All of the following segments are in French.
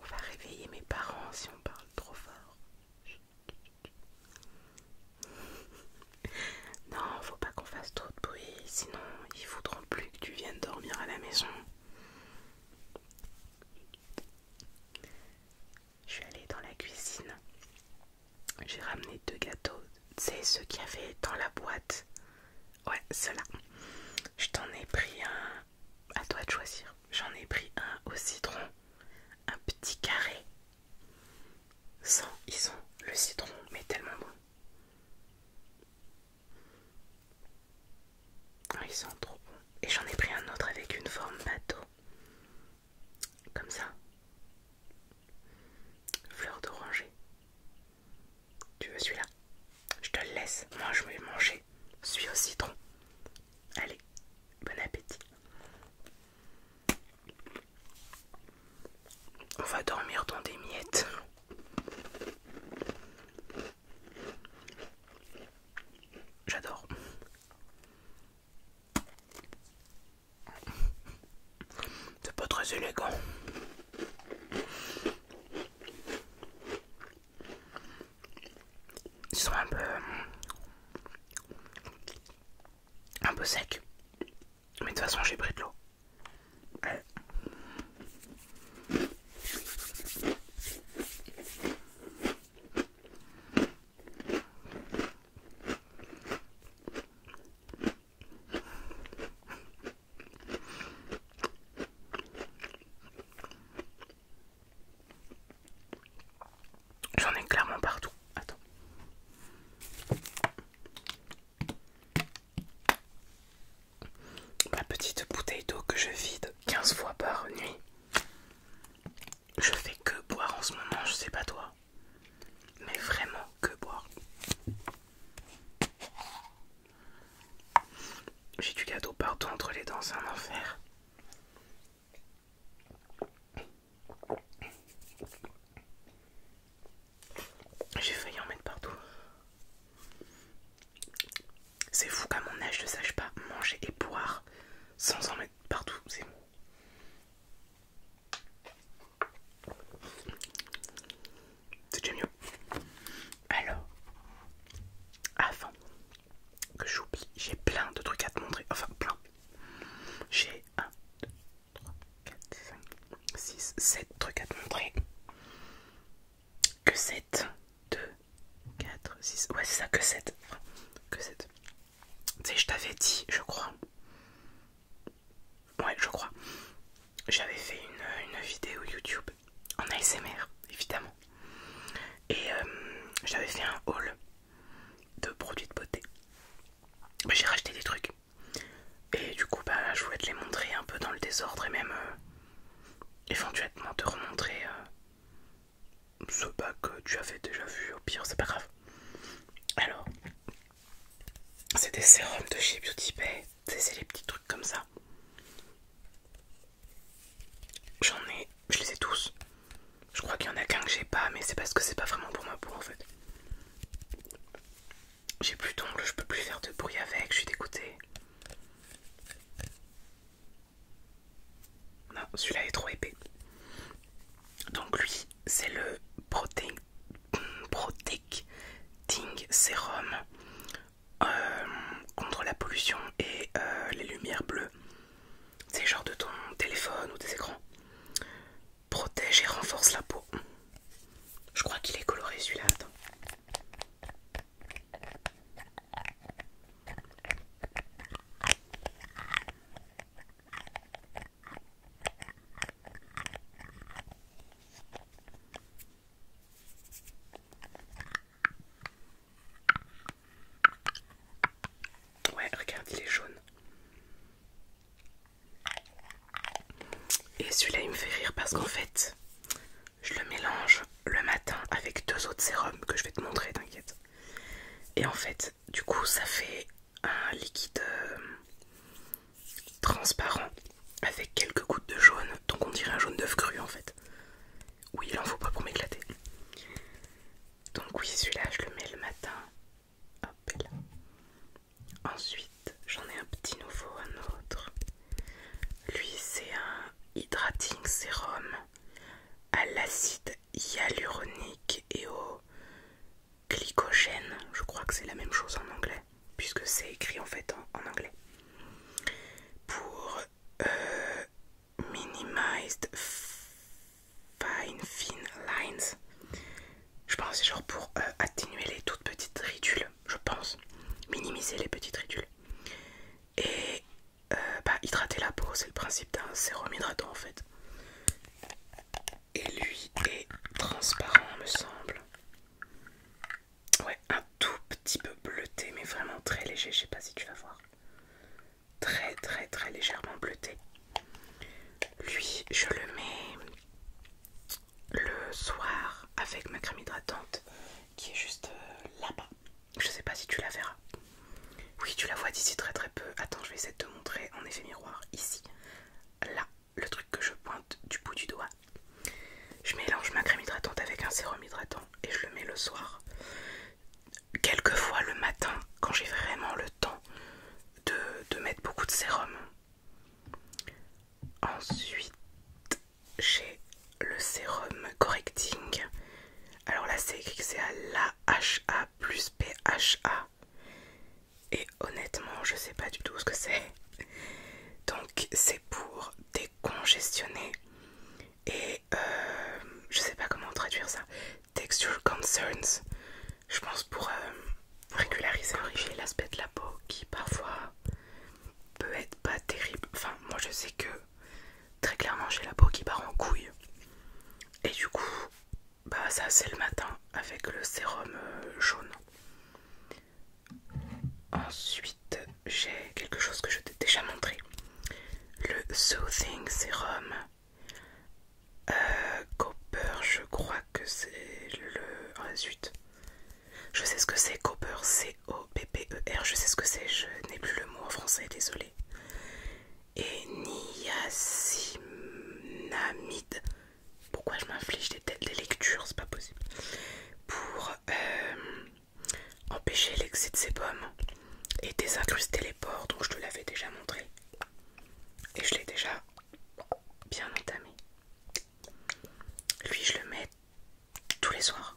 On va réveiller mes parents si on parle trop fort. Non, faut pas qu'on fasse trop de bruit, sinon ils voudront plus que tu viennes dormir à la maison. Je suis allée dans la cuisine. J'ai ramené deux gâteaux. C'est ceux qu'il y avait dans la boîte. Ouais, cela Je t'en ai pris un. À toi de choisir. J'en ai pris un au citron. Un petit carré. Sans, ils sont le citron, mais tellement bon. Ah, ils sont trop bons. Et j'en ai pris un autre avec une forme bateau. Comme ça. Fleur d'oranger. Tu veux celui-là Je te le laisse. Moi, je vais manger. Suis au citron. Allez, bon appétit. On va dormir dans des miettes. J'adore. C'est pas très élégant. Ils sont un peu... Un peu secs. Mais de toute façon j'ai pris de l'eau. J'en ai clairement partout. Attends. Ma petite bouteille d'eau que je vide 15 fois par nuit. Je fais que boire en ce moment, je sais pas toi. Mais vraiment que boire. J'ai du cadeau partout entre les dents, c'est un enfer. J'ai failli en mettre partout. C'est fou qu'à mon âge je ne sache pas manger et boire sans en mettre partout. C'est c'est déjà mieux. Alors, avant que j'oublie, j'ai plein de trucs à te montrer. Enfin, plein. J'ai 1, 2, 3, 4, 5, 6, 7 trucs à te montrer. Que 7, 2, 4, 6. Ouais, c'est ça, que 7. que 7. Tu sais, je t'avais dit, je crois, Ouais, je crois. J'avais fait une, vidéo YouTube en ASMR, évidemment. Et euh, j'avais fait un haul de produits de beauté. Bah, j'ai racheté des trucs. Et du coup, bah, je voulais te les montrer un peu dans le désordre et même euh, éventuellement te remontrer euh, ce bac que tu avais déjà vu. Au pire, c'est pas grave. Alors, c'est des sérums de chez Beauty Bay. C'est les petits trucs comme ça. J'en ai, je les ai tous. Je crois qu'il y en a qu'un que j'ai pas, mais c'est parce que c'est pas vraiment pour ma peau en fait. J'ai plus d'ongles, je peux plus faire de bruit avec, je suis dégoûtée. Non, celui-là est trop épais. Donc lui, c'est le Protein protecting sérum euh, contre la pollution et euh, les lumières bleues. C'est genre de ton téléphone ou des écrans. Protège et renforce la peau. Je crois qu'il est coloré celui-là. Ouais, regarde, il est jaune. Et celui-là, il me fait rire parce qu'en fait, je le mélange le matin avec deux autres sérums que je vais te montrer, t'inquiète. Et en fait, du coup, ça fait un liquide euh, transparent avec quelques gouttes de jaune, donc on dirait un jaune d'œuf cru en fait. Oui, il en faut pas pour m'éclater. Donc oui, celui-là, je le mets le matin. Hop là. Ensuite, j'en ai un petit nouveau, un autre. Lui, c'est un hydrating sérum à l'acide hyaluronique et au glycogène, je crois que c'est la même chose en anglais, puisque c'est écrit en fait en, anglais. Pour euh, minimized fine thin lines, je pense c'est genre pour euh, atténuer les toutes petites ridules, je pense, minimiser les petites ridules. Et euh, bah, hydrater la peau, c'est le principe d'un sérum hydratant en fait. Et lui est transparent, me semble. Ouais, un tout petit peu bleuté, mais vraiment très léger. Je sais pas si tu vas voir. Très, très, très légèrement bleuté. Lui, je le mets le soir avec ma crème hydratante qui est juste euh, là-bas. Je sais pas si tu la verras. Oui, tu la vois d'ici très très peu. Attends, je vais essayer de te montrer en effet miroir ici. Là, le truc que je pointe du bout du doigt. Je mélange ma crème hydratante avec un sérum hydratant et je le mets le soir. Quelquefois le matin, quand j'ai vraiment le temps de, de mettre beaucoup de sérum. Ensuite, j'ai le sérum correcting. Alors là, c'est écrit que c'est à l'AHA plus PHA. Et honnêtement, je sais pas du tout ce que c'est. Donc, c'est pour décongestionner et euh, je sais pas comment traduire ça. Texture concerns, je pense pour euh, régulariser, corriger l'aspect de la peau qui parfois peut être pas terrible. Enfin, moi je sais que très clairement j'ai la peau qui part en couille et du coup bah ça c'est le matin avec le sérum euh, jaune. Ensuite j'ai quelque chose que je t'ai déjà montré. Le Soothing Serum. Euh, Copper je crois que c'est le... Ah zut. Je sais ce que c'est Copper C-O-P-P-E-R. Je sais ce que c'est. Je n'ai plus le mot en français, désolé. Et niacinamide. Pourquoi je m'inflige des têtes les lectures C'est pas possible. Pour euh, empêcher l'excès de pommes et désincruster les pores, donc je te l'avais déjà montré. Et je l'ai déjà bien entamé. Lui, je le mets tous les soirs.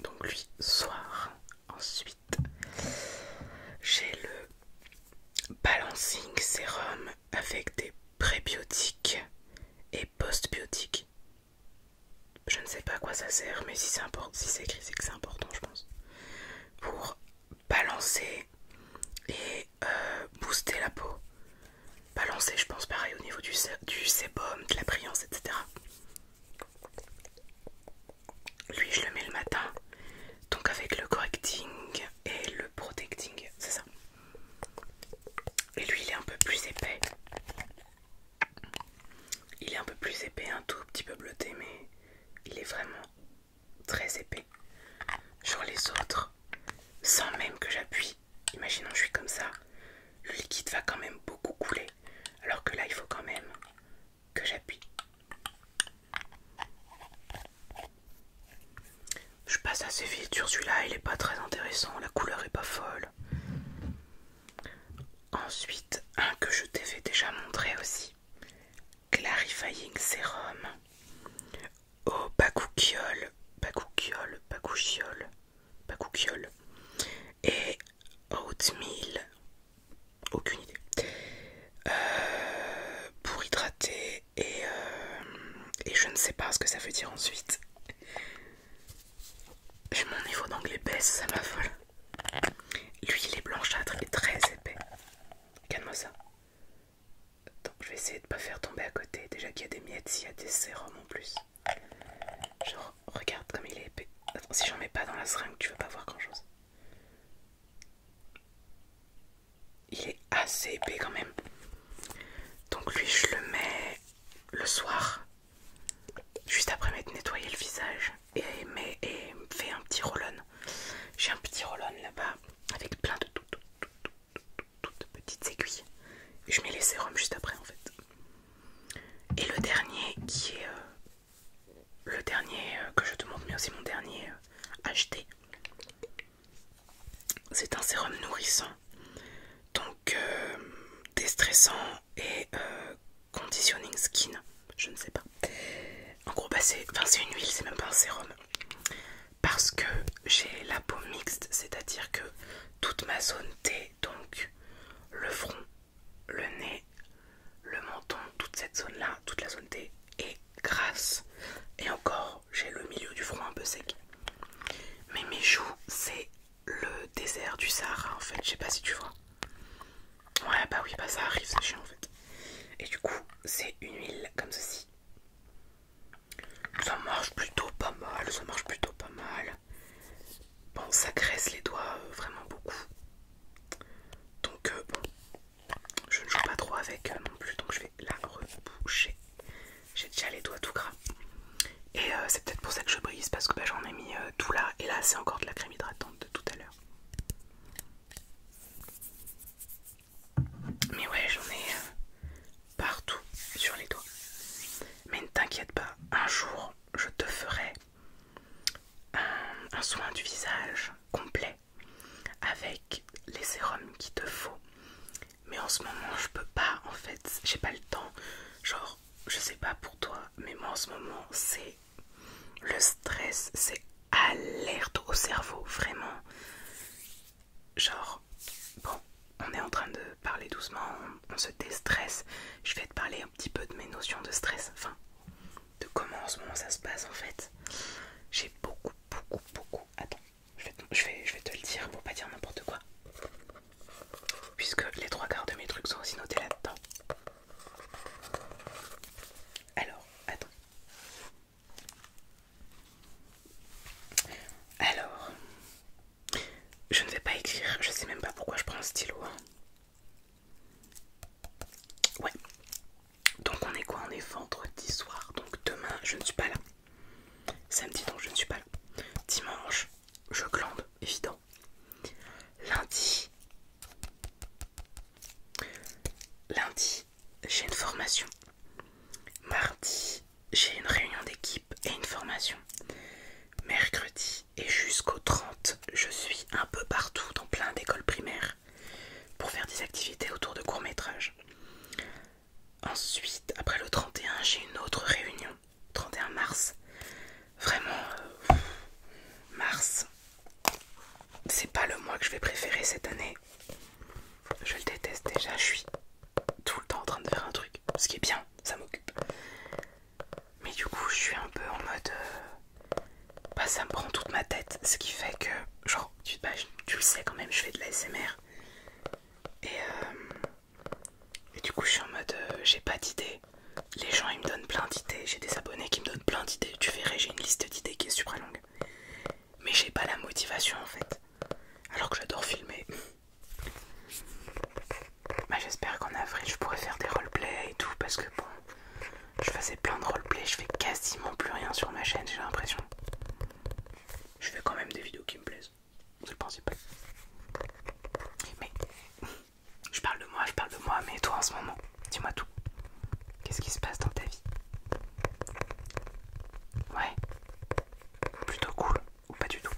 donc lui soir ensuite j'ai le balancing sérum avec des prébiotiques et postbiotiques je ne sais pas à quoi ça sert mais si c'est écrit c'est que c'est important je pense pour balancer et euh, booster la peau balancer je pense pareil au niveau du, du sébum de la brillance etc lui, je le mets le matin, donc avec le correcting et le protecting, c'est ça. Et lui, il est un peu plus épais. Il est un peu plus épais, un tout petit peu bleuté, mais il est vraiment très épais. Genre les autres, sans même que j'appuie, imaginons je suis comme ça, le liquide va quand même beaucoup couler. Alors que là, il faut quand même que j'appuie. Je passe assez vite sur celui-là, il n'est pas très intéressant, la couleur est pas folle. Ensuite, un que je t'avais déjà montré aussi. Clarifying Serum. Au oh, Bakuchiol, pas Bakuchiol, pas coucouille Et oatmeal, aucune idée. Euh, pour hydrater euh, et, je ne sais pas ce que ça veut dire ensuite. Mon niveau d'anglais baisse, ça m'affole. L'huile est blanchâtre et très épais. Calme-moi ça. Donc je vais essayer de pas faire tomber à côté. Déjà qu'il y a des miettes, il y a des sérums en plus. Genre, regarde comme il est épais. Attends, si j'en mets pas dans la seringue, tu vas pas voir grand chose. Il est assez épais quand même. Donc, lui, je le mets le soir, juste après m'être nettoyé le visage et, mais, et fait un petit roll-on. J'ai un petit roll-on là-bas avec plein de toutes petites aiguilles. je mets les sérums juste après en fait. Et le dernier qui est euh, le dernier euh, que je te montre, mais aussi mon dernier euh, acheté. C'est un sérum nourrissant, donc déstressant et conditioning skin. Je ne sais pas. En gros, bah, c'est une huile, c'est même pas un sérum. Parce que j'ai la peau mixte, c'est-à-dire que toute ma zone T donc le front, le nez, le menton, toute cette zone-là, toute la zone T est grasse. Et encore, j'ai le milieu du front un peu sec. Mais mes joues, c'est le désert du Sahara en fait. Je sais pas si tu vois. Ouais, bah oui, bah ça arrive, ça chiant en fait. Et du coup, c'est une huile comme ceci. Ça marche plutôt pas mal, ça marche plutôt pas mal. Bon, ça graisse les doigts euh, vraiment beaucoup. Donc, euh, bon, je ne joue pas trop avec euh, non plus. Donc, je vais la reboucher. J'ai déjà les doigts tout gras. Et c'est peut-être pour ça que je brise parce que bah, j'en ai mis tout là. Et là, c'est encore de la crème hydratante de tout à l'heure. Mais ouais, j'en ai partout sur les doigts. Mais ne t'inquiète pas, un jour je te ferai un, soin du visage complet avec les sérums qu'il te faut. Mais en ce moment je peux pas en fait, j'ai pas le temps. Genre, je sais pas pour toi, mais moi en ce moment c'est le stress, c'est alerte au cerveau, vraiment. Genre, bon, on est en train de parler doucement, on, se déstresse. Je vais te parler un petit peu de mes notions de stress, enfin, de comment en ce moment ça se passe en fait. J'ai beaucoup, beaucoup, beaucoup. Attends, je je, vais, je vais te le dire pour pas dire n'importe quoi. Puisque les trois quarts de mes trucs sont aussi notés là-dedans. Alors, attends. Alors, je ne vais pas écrire, je sais même pas pourquoi je prends un stylo. Hein. Ouais. Donc on est quoi On est vendredi soir. Donc demain, je ne suis pas là. Samedi, donc je ne suis pas là. Dimanche, je glande, évident. Lundi. Lundi, j'ai une formation. Mardi, j'ai une réunion d'équipe et une formation mercredi et jusqu'au 30 je suis un peu partout dans plein d'écoles primaires pour faire des activités autour de courts métrages. Ensuite, après le 31, j'ai une autre réunion, 31 mars. Vraiment, euh, mars, c'est pas le mois que je vais préférer cette année. Je le déteste déjà, je suis tout le temps en train de faire un truc, ce qui est bien, ça m'occupe. Mais du coup, je suis un peu en mode. Euh, bah, ça me prend toute ma tête, ce qui fait que, genre, tu, le sais quand même, je fais de la SMR. Euh, et, du coup, je suis en mode, euh, j'ai pas d'idées. Les gens, ils me donnent plein d'idées. J'ai des abonnés qui me donnent plein d'idées. Tu verrais, j'ai une liste d'idées qui est super longue. Mais j'ai pas la motivation en fait. Alors que j'adore filmer. Bah, J'espère qu'en avril je pourrais faire des roleplays et tout parce que bon, je faisais plein de roleplays, je fais quasiment plus rien sur ma chaîne, j'ai l'impression. Je fais quand même des vidéos qui me plaisent, c'est le principal. Mais je parle de moi, je parle de moi, mais toi en ce moment, dis-moi tout. Qu'est-ce qui se passe dans ta vie Ouais, plutôt cool ou pas du tout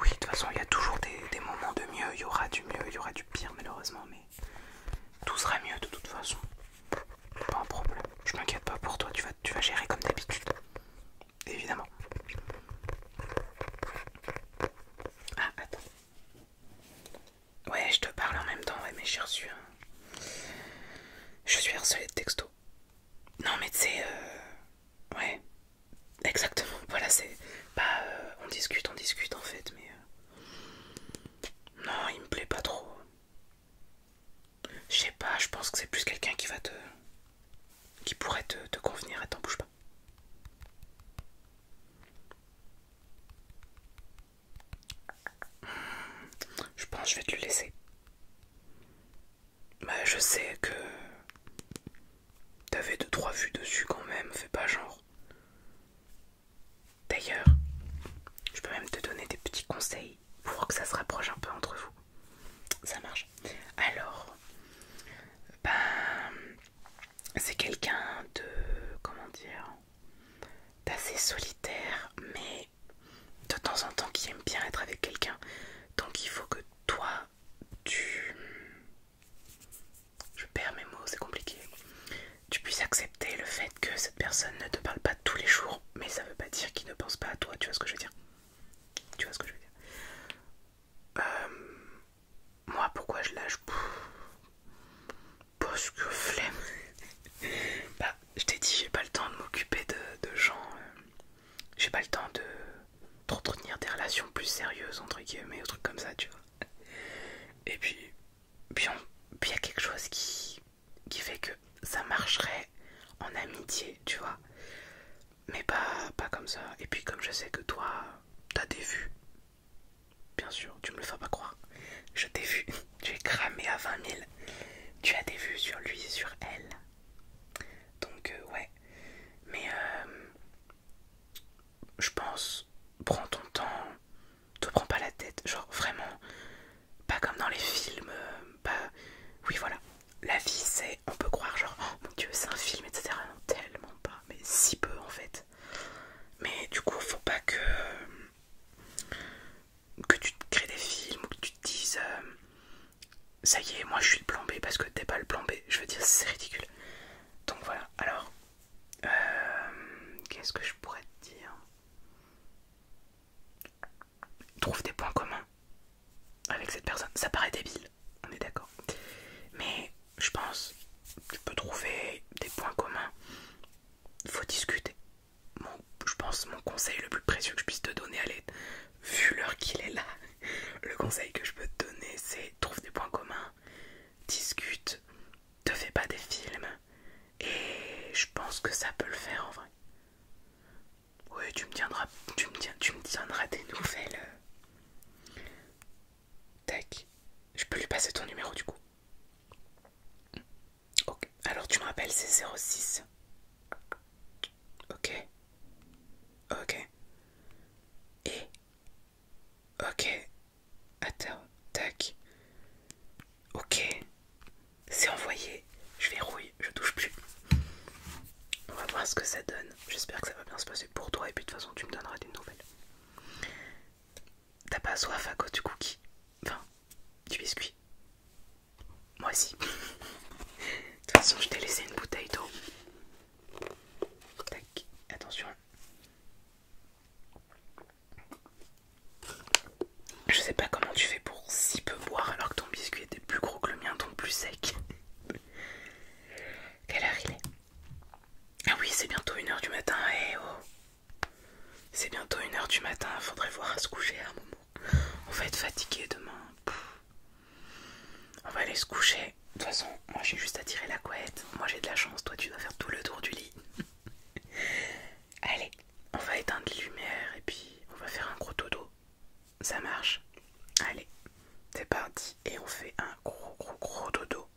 Oui, de toute façon, il y a toujours des, moments de mieux, il y aura du mieux, il y aura du pire malheureusement, mais tout sera mieux de toute façon. Pas un problème, je m'inquiète pas pour toi, tu vas, tu vas gérer comme d'habitude. Évidemment. Ah, attends. Ouais, je te parle en même temps, ouais, mais j'ai reçu Je suis harcelée de texto. Non, mais tu sais, euh, ouais, exactement. Voilà, c'est bah On discute, on discute en fait, mais. Euh, non, il me plaît pas trop. Je sais pas, je pense que c'est plus quelqu'un qui va te. qui pourrait te, te convenir et t'en bouge pas. Je pense que je vais te le laisser. Bah, je sais que t'avais deux trois vues dessus quand même, fais pas genre. D'ailleurs, je peux même te donner des petits conseils pour que ça se rapproche un peu entre vous. Ça marche. Alors, ben, c'est quelqu'un de comment dire, d'assez solitaire, mais de temps en temps qui aime bien être avec quelqu'un. Donc il faut que toi, tu... Je perds mes mots, c'est compliqué. Tu puisses accepter le fait que cette personne ne te parle pas tous les jours, mais ça veut pas dire qu'il ne pense pas à toi, tu vois ce que je veux dire Tu vois ce que je veux dire euh, Moi, pourquoi je lâche Parce que flemme. Bah, je t'ai dit, j'ai pas le temps de m'occuper de, gens, euh, j'ai pas le temps de d'entretenir des relations plus sérieuses, entre guillemets, ou trucs comme ça, tu vois. Et puis, puis il y a quelque chose qui, qui fait que ça marcherait en amitié, tu vois. Mais pas, pas comme ça. Et puis, comme je sais que toi, t'as des vues, bien sûr, tu me le feras pas croire, je t'ai vu. Tu es cramé à 20 000. Tu as des vues sur lui, sur elle. Donc, euh, ouais. Mais euh, je pense, prends ton temps. Te prends pas la tête. Genre, vraiment, pas comme dans les films. Euh, oui, voilà. La vie, c'est. On peut croire, genre, oh, mon dieu, c'est un film, etc. Non, tellement pas. Mais si peu, en fait. Mais du coup, faut pas que que tu crées des films ou que tu te dises euh, ça y est, moi je suis le plan B parce que t'es pas le plan B. Je veux dire, c'est ridicule. Donc voilà, alors euh, qu'est-ce que je pourrais te dire Trouve des points communs avec cette personne. Ça paraît débile, on est d'accord. Mais je pense, tu peux trouver des points communs. Faut discuter, je pense mon conseil le plus précieux que je puisse te donner, vu l'heure qu'il est là, le conseil que je peux te donner c'est trouve des points communs, discute, te fais pas des films, et je pense que ça peut le faire en vrai. Oui, tu me tiendras, tu me tu me tiendras des nouvelles. Tac, je peux lui passer ton numéro du coup. Ok, alors tu me rappelles, c'est 06. Ok. Ok. Et. Ok. Attends, tac. Ok. C'est envoyé. Je verrouille, je touche plus. On va voir ce que ça donne. J'espère que ça va bien se passer pour toi et puis de toute façon tu me donneras des nouvelles. T'as pas soif à cause du cookie Enfin, du biscuit. Moi aussi. De toute façon, je t'ai laissé une bouteille d'eau. Tac, attention. Je sais pas comment tu fais pour si peu boire alors que ton biscuit était plus gros que le mien, ton plus sec. Quelle heure il est Ah oui, c'est bientôt 1h du matin. Eh oh c'est bientôt 1h du matin, faudrait voir à se coucher un moment. On va être fatigué demain. On va aller se coucher. De toute façon, moi j'ai juste à tirer la couette. Moi j'ai de la chance, toi tu dois faire tout le tour du lit. Allez, on va éteindre les lumières et puis on va faire un gros dodo. Ça marche Allez, c'est parti et on fait un gros gros gros dodo.